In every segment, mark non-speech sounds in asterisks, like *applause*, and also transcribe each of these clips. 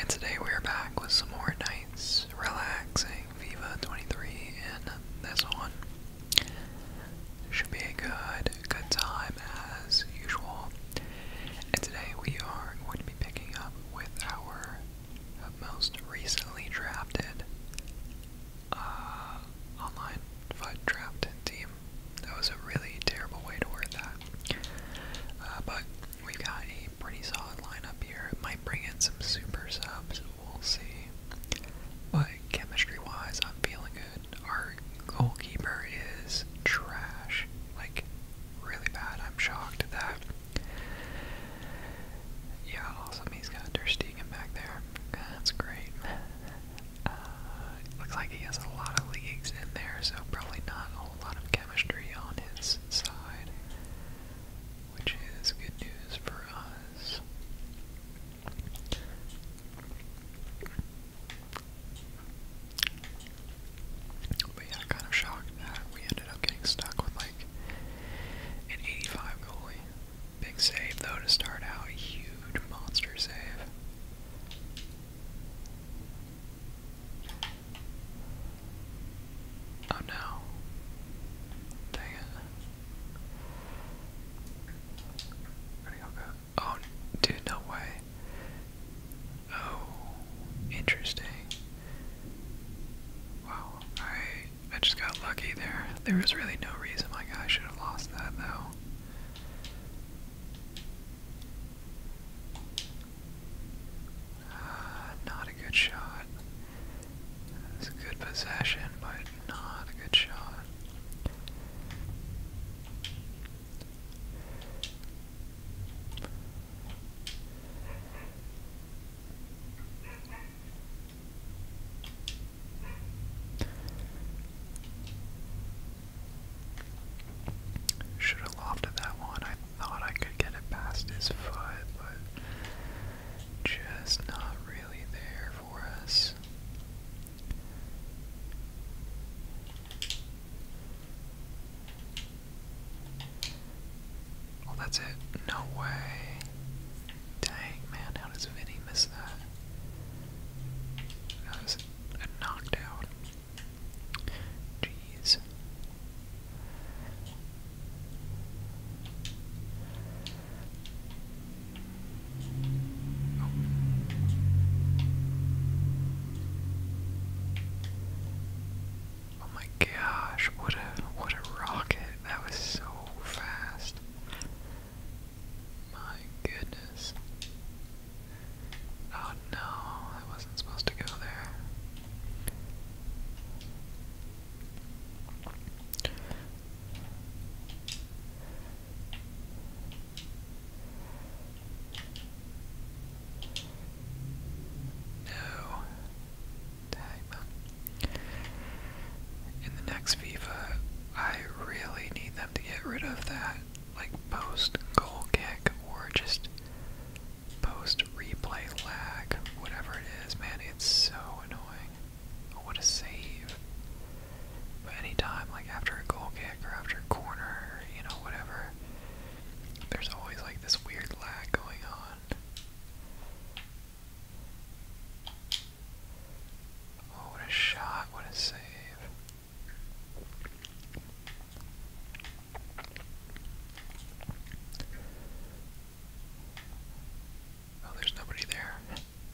And today we're back with some more nights relaxing Viva 23 and this one. Should be a good, good time as usual. And today we are going to be picking up with our most recently drafted uh, online FUD team. That was a really terrible way to word that. Uh, but we've got a pretty solid lineup here. It might bring in some super subs. We'll see. But chemistry-wise, I'm feeling good. Our goalkeeper is trash. Like, really bad. I'm shocked at that. Yeah, awesome. He's got Der Stegen back there. That's great. Uh, looks like he has a lot of leagues in there, so probably not whole lot of chemistry on his side, which is good news for us. But yeah, kind of shocked that we ended up getting stuck with like an 85 goalie. Big save though to start out, a huge monster save. Oh no. Dang it. Oh, dude, no way. Oh, interesting. Wow, I I just got lucky there. There was really no reason my guy should have lost that though. Uh, not a good shot. It's a good possession, but not a good shot. Should have lofted that one. I thought I could get it past his foot, but just not really there for us. Well, that's it. No way. Dang, man, how does Vinny miss that? That was a knockdown. Jeez. Oh. my gosh, what a what a rocket. That was so fast. My goodness. Oh no, I wasn't supposed to go there. No. Dang. In the next FIFA, I really need them to get rid of that like post goal kick or just post replay lag, whatever it is, man, it's so annoying. Oh, what a save. But anytime, like after a goal kick or after a corner, you know, whatever, there's always like this weird lag going on. Oh, what a shot, what a save. Oh, there's nobody there.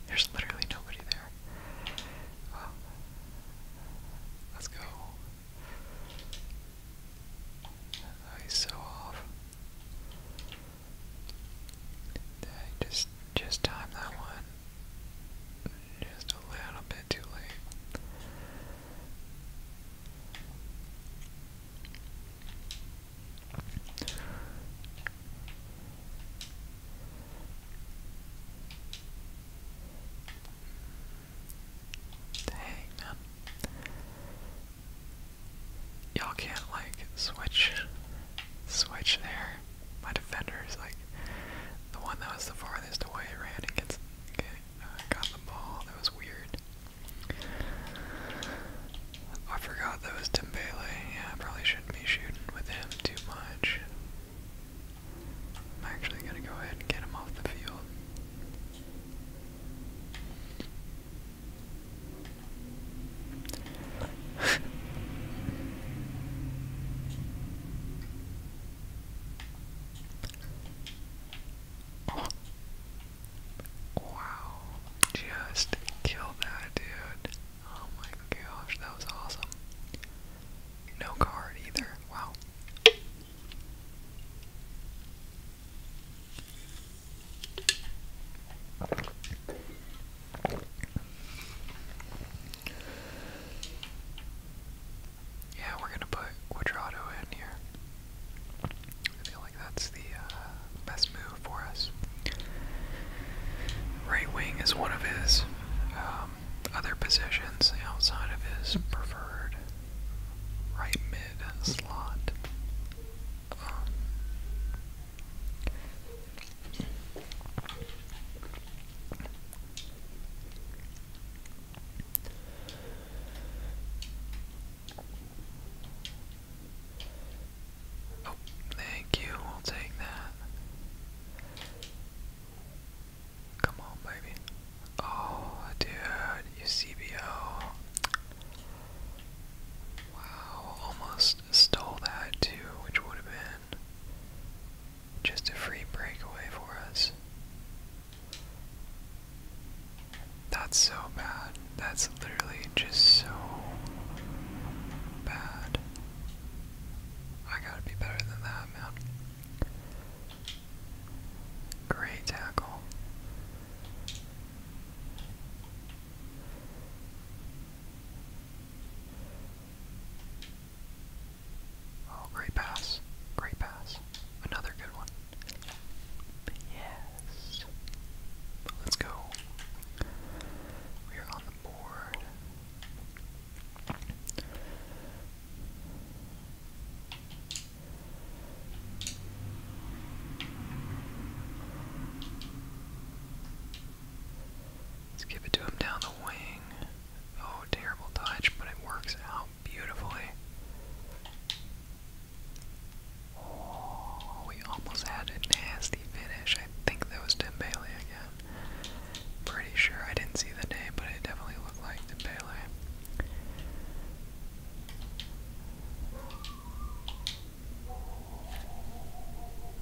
There's literally nobody there. Let's go. Oh, he's so off. just, just time that one. Just a little bit too late. Dang, man. Y'all can't like switch switch there my defender is like the one that was the farthest away ran against, uh, got the ball. That was weird. I forgot that was Timbele. Yeah, I probably shouldn't be shooting with him too much. I'm actually gonna go ahead and get him off the field. *laughs* Wow. Just killed that dude. Oh my gosh, that was awesome. No card either. Wow. Yeah, we're gonna put Quadrado in here. I feel like that's the uh, best move for us. Right wing is one of his um, other positions outside of his preferred right mid slot. Um, Oh, thank you. We'll take that. Come on, baby. Oh, dude, you CBO. Wow, almost stole that too, which would have been just a free breakaway for us. That's so bad. That's literally just so bad. I gotta be better than that, man. Great tackle. Oh, great pass. Great pass. Another good one. Yes. Let's go. We are on the board. Let's give it to him down the wing. Oh, terrible touch, but it works out beautifully. Oh, we almost had a nasty finish. I think that was Dembele again. Pretty sure I didn't see the name, but it definitely looked like Dembele.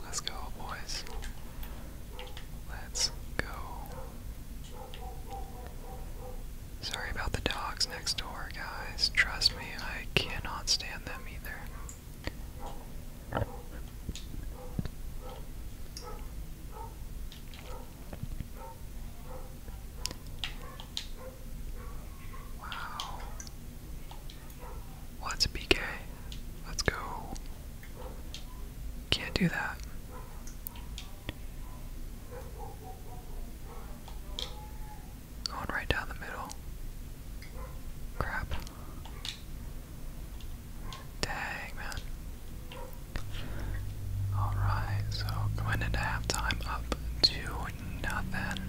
Let's go, boys. Let's go. Sorry about the dogs next door, guys. Trust me, I cannot stand them either. Wow. What's well, a PK? Let's go. Can't do that. Going right down the middle. Crap. Dang, man. Alright, so going into halftime up to nothing.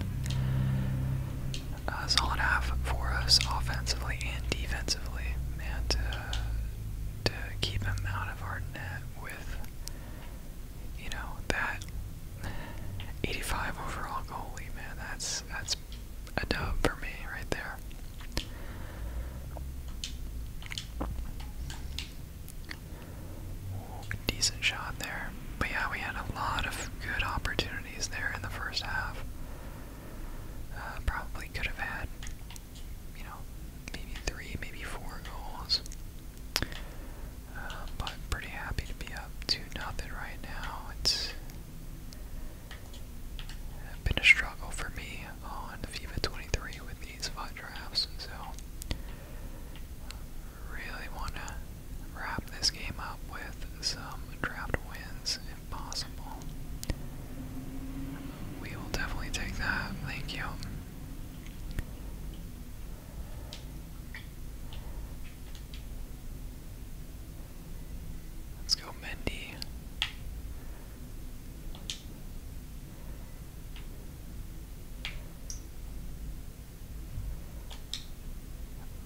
A uh, solid half for us offensively and defensively man, to, uh, to keep him out of our net with, you know, that 85 overall goalie, man, that's, that's a dub for me right there. Ooh, decent shot there. But yeah, we had a lot of good opportunities there in the first half. Uh, probably could have had, you know, maybe three, maybe four goals. Uh, but pretty happy to be up to nothing right now. It's been a struggle for me on FIFA 23 with these five drafts, so uh, really want to wrap this game up with some draft wins Possible. We will definitely take that. Thank you. Let's go, Mendy.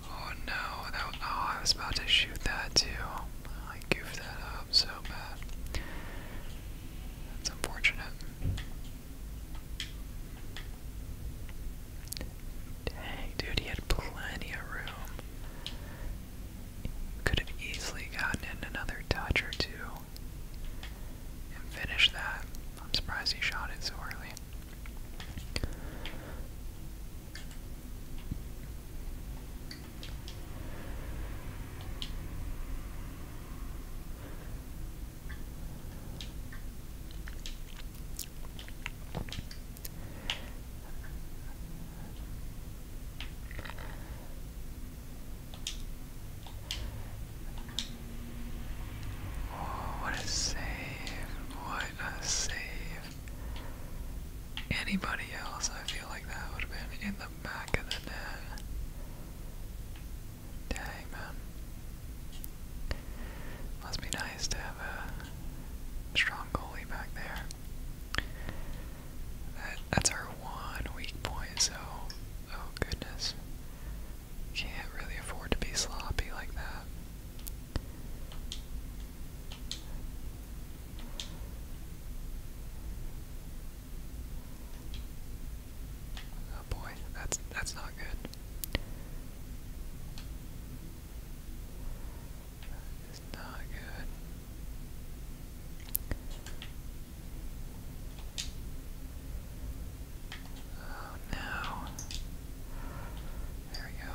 Oh no, oh, I was about to shoot that too. I goofed that up so bad. That's unfortunate. Dang, dude, he had plenty of room. Could have easily gotten in another touch or two and finished that. I'm surprised he shot it so early. Oh, what a save! What a save! anybody else, I feel like that would have been in the back of the net. Dang, man. Must be nice to have a strong goalie back there. That, that's our one weak point, so, oh goodness. Can't really afford to be sloppy like that. Oh boy, that's that's not good. That is not good. Oh no. There we go.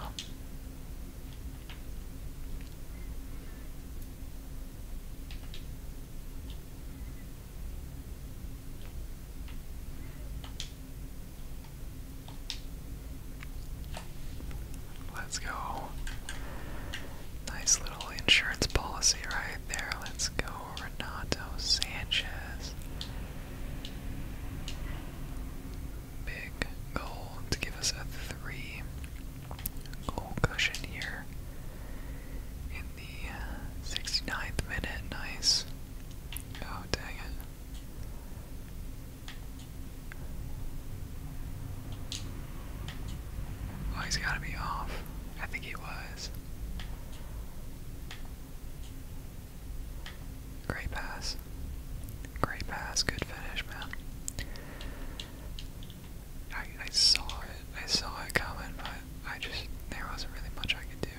Let's go. Nice little insurance policy right there. Let's go, Renato Sanchez big goal give us a three goal cushion here in the 69th uh, minute. Nice. Oh, dang it. Oh, he's got to be off. I think he was. Great pass. Great pass. Good finish, man. I, I saw it. I saw it coming, but I just, there wasn't really much I could do.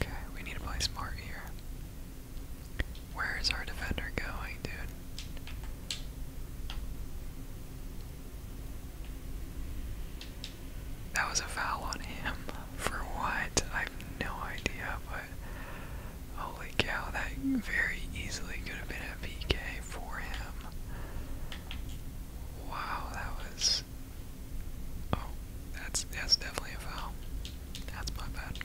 Okay, we need to play smart here. Where is our defender going, dude? That was a foul on him. For what? I have no idea, but holy cow, that very easily could have been a PK for him. Wow, that was. Oh, that's that's definitely a foul. That's my bad.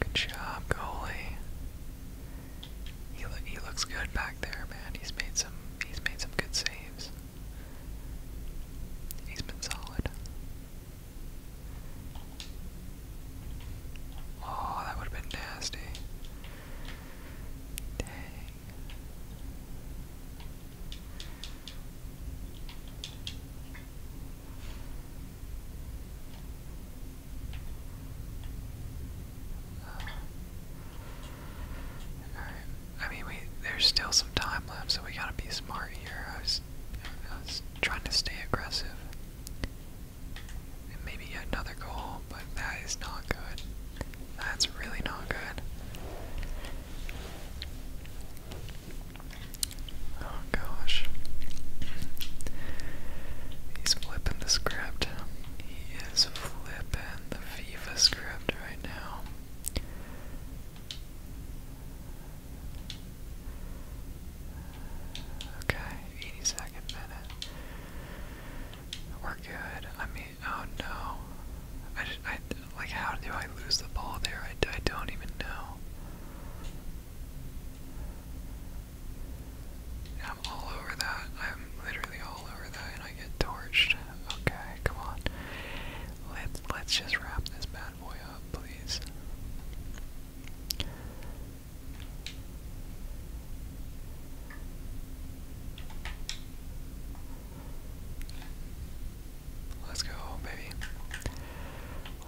Good job, goalie. He he looks good back there, man. He's made some he's made some good saves. He's been solid. Oh, that would have been nasty. Dang. I mean, we there's still some time left, so we gotta be smart here. I was, trying to stay aggressive. And maybe another goal, but that is not good. That's really not good. Oh gosh. He's flipping the script. He is flipping the FIFA script right now. Okay, 82nd minute. We're good. I mean, oh no. I, I, like how do I lose the ball there? I, I don't even know. I'm all over that. I'm literally all over that, and I get torched. Okay, come on. Let's let's just wrap this bad boy up, please. Let's go, baby.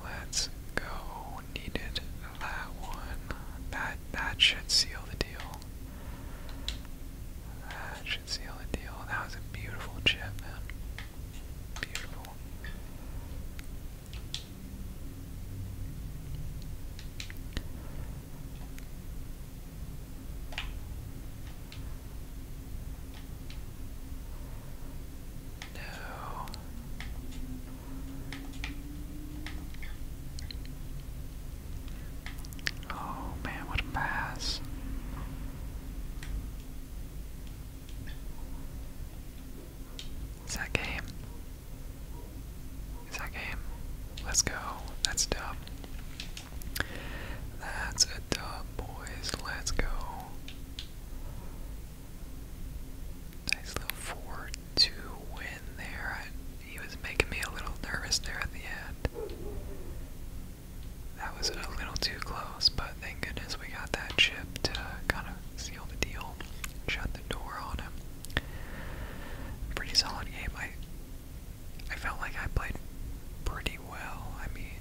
Let's go. Needed that one. That that should seal the deal. That should seal the deal. That was a beautiful chip, man. Beautiful. No. Oh man, what a pass. Is that game? Is that game? Let's go. That's dumb. That's a dub, boys. Let's go. Nice little 4 2 win there. he was making me a little nervous there at the end. That was a little too close, but thank goodness we got that chip to kind of seal the deal, shut the door on him. Pretty solid game. I I felt like I played pretty well. I mean,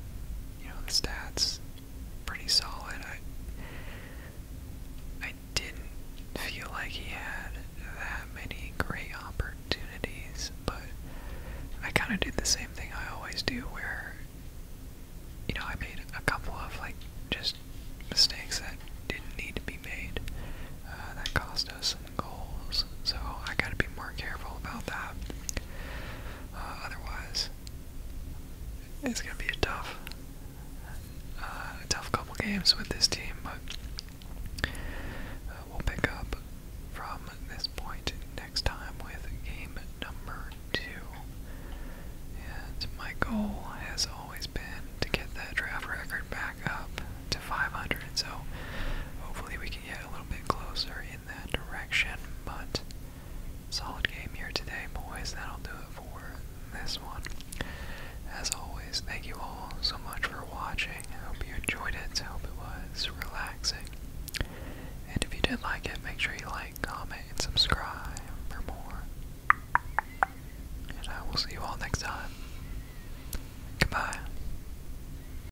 you know, the stats pretty solid. I I didn't feel like he had that many great opportunities, but I kind of did the same thing I always do where you know, I made a couple of like just mistakes that didn't need to be made. Uh, that cost us some goals so I gotta be more careful about that. Uh, otherwise, it's gonna be a tough, uh, tough couple games with this team, but uh, we'll pick up from this point next time with game number two. And my goal has always been to get that draft record back up to 500, so hopefully we can get a little bit closer in that direction, but solid game here today, boys. That'll do it for this one. As always, thank you all so much for watching. I hope you enjoyed it. I hope it was relaxing. And if you did like it, make sure you like, comment, and subscribe for more. And I will see you all next time. Goodbye.